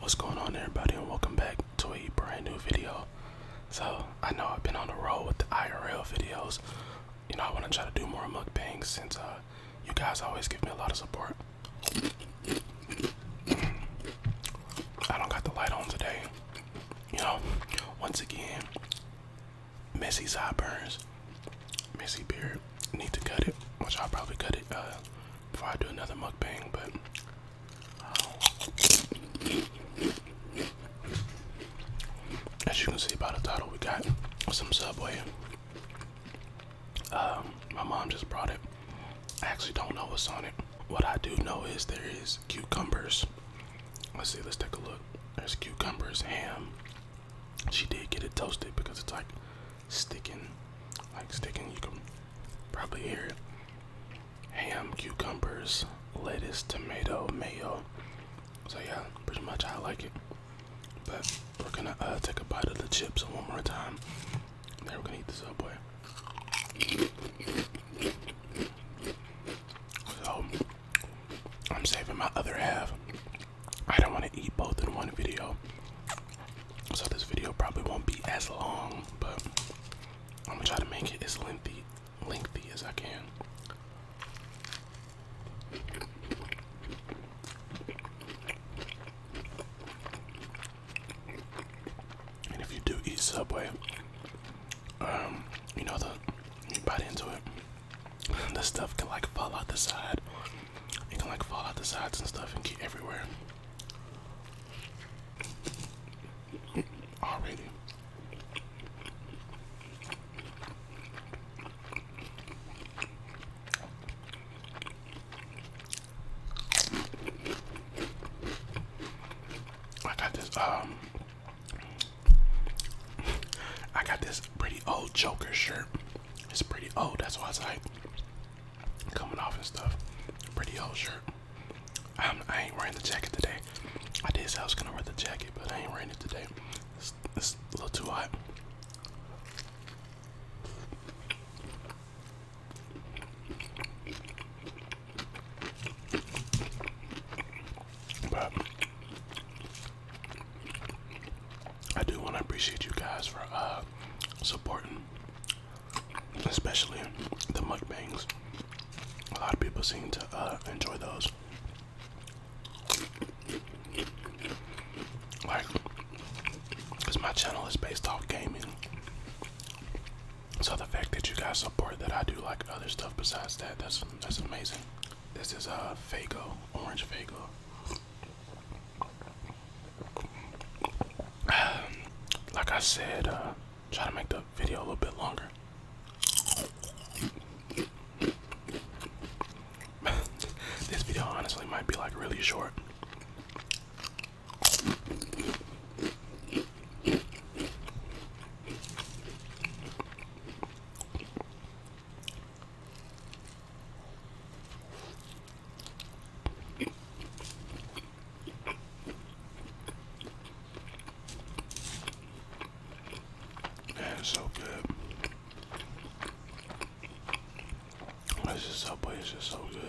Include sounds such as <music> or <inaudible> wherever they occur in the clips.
What's going on everybody and welcome back to a brand new video. So I know I've been on the road with the IRL videos. You know I want to try to do more mukbangs since uh, you guys always give me a lot of support. I don't got the light on today. You know, once again, Messy sideburns, messy beard, need to cut it, which I'll probably cut it uh, before I do another mukbang, but um, as you can see by the title, we got some Subway. Um, my mom just brought it. I actually don't know what's on it. What I do know is there is cucumbers. Let's see, let's take a look. There's cucumbers, ham. She did get it toasted because it's like sticking, like sticking. You can probably hear it. Ham, cucumbers, lettuce, tomato, mayo. So yeah, pretty much I like it. But we're gonna uh, take a bite of the chips one more time. Then we're gonna eat the subway. So I'm saving my other half I don't want to eat both in one video. So this video probably won't be as long, but I'm gonna try to make it as lengthy lengthy as I can. And if you do eat Subway, um, you know the you bite into it, <laughs> the stuff can like fall out the side it can like fall out the sides and stuff and get everywhere. Already. I got this um <laughs> I got this pretty old Joker shirt it's pretty old, oh, that's why it's like coming off and stuff. Pretty old shirt. i ain't wearing the jacket today. I did say I was gonna wear the jacket, but I ain't wearing it today. It's, it's a little too hot. But I do want to appreciate you guys for uh, supporting, especially the bangs. A lot of people seem to uh, enjoy those. Like, because my channel is based off gaming. So the fact that you guys support that I do like other stuff besides that, that's that's amazing. This is a uh, Fago, orange Fago. Um, like I said, uh, try to make the video a little bit longer. <laughs> this video honestly might be like really short. That is so good. This is Subway. It's just so good.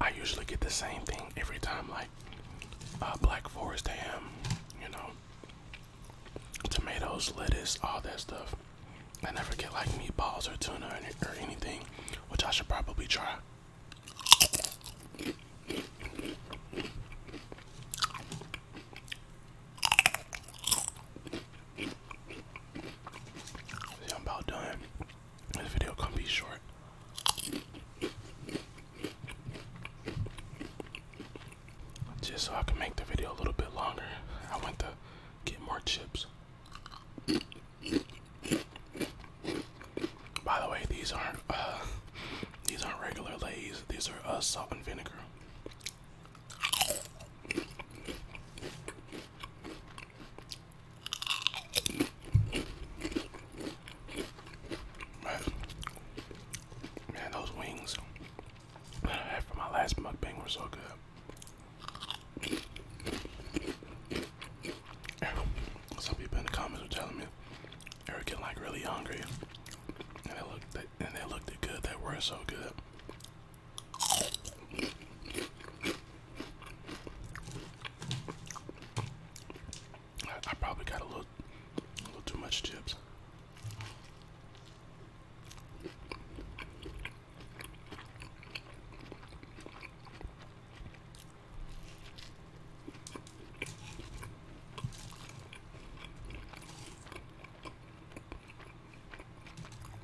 I usually get the same thing every time, like uh, Black Forest ham, you know, tomatoes, lettuce, all that stuff. I never get like meatballs or tuna or, or anything, which I should probably try. See, I'm about done. This video gonna be short. Just so I can make the video a little bit longer, I went to get more chips. By the way, these aren't uh, these aren't regular Lay's. These are uh, salt and vinegar. Man, those wings that my last mukbang were so good. Some people in the comments were telling me they were like really hungry, and they looked, and they looked good. They were so good. I probably got a little, a little too much chips.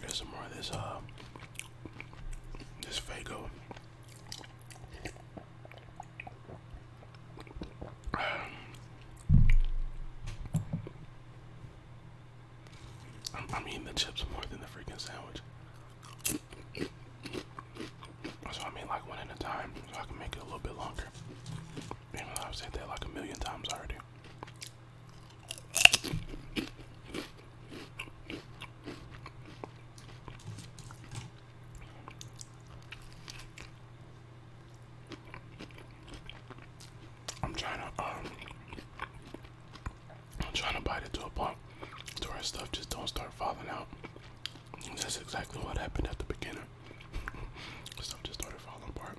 There's some more of this, uh, this Fago. I'm, I'm eating the chips more than the freaking sandwich. That's So I mean like one at a time so I can make it a little bit longer. Even though I've said that like a million times already. I'm trying to, um, I'm trying to bite it to a point so our stuff just don't start falling out. that's exactly what happened at the beginning. stuff <laughs> just started falling apart.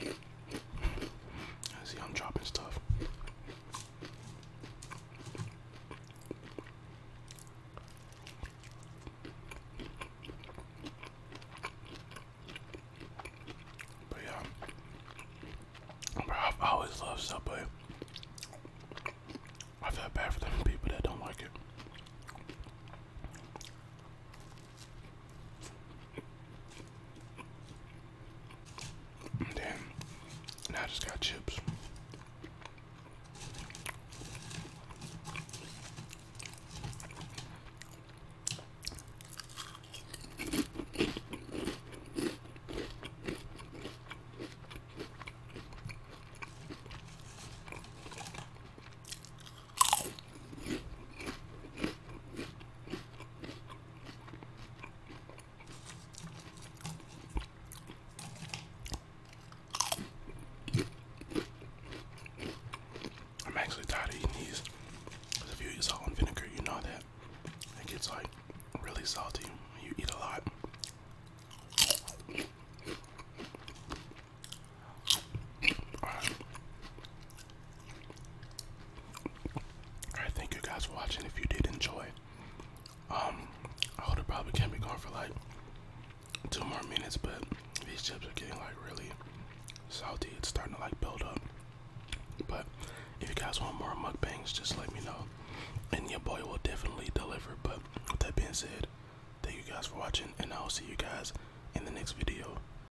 I see I'm dropping stuff. But yeah, bro, i always loved Subway. I feel bad for them people that don't like it. Damn. I just got chips. I'm actually tired of eating these. Because if you eat salt and vinegar, you know that it gets like really salty. You eat a lot. Alright, thank you guys for watching. If you did enjoy, um, I would it probably can't be going for like two more minutes, but these chips are getting like really salty. It's starting to like build up. But if you guys want more mukbangs, just let me know. And your boy will definitely deliver. But with that being said, thank you guys for watching, and I'll see you guys in the next video.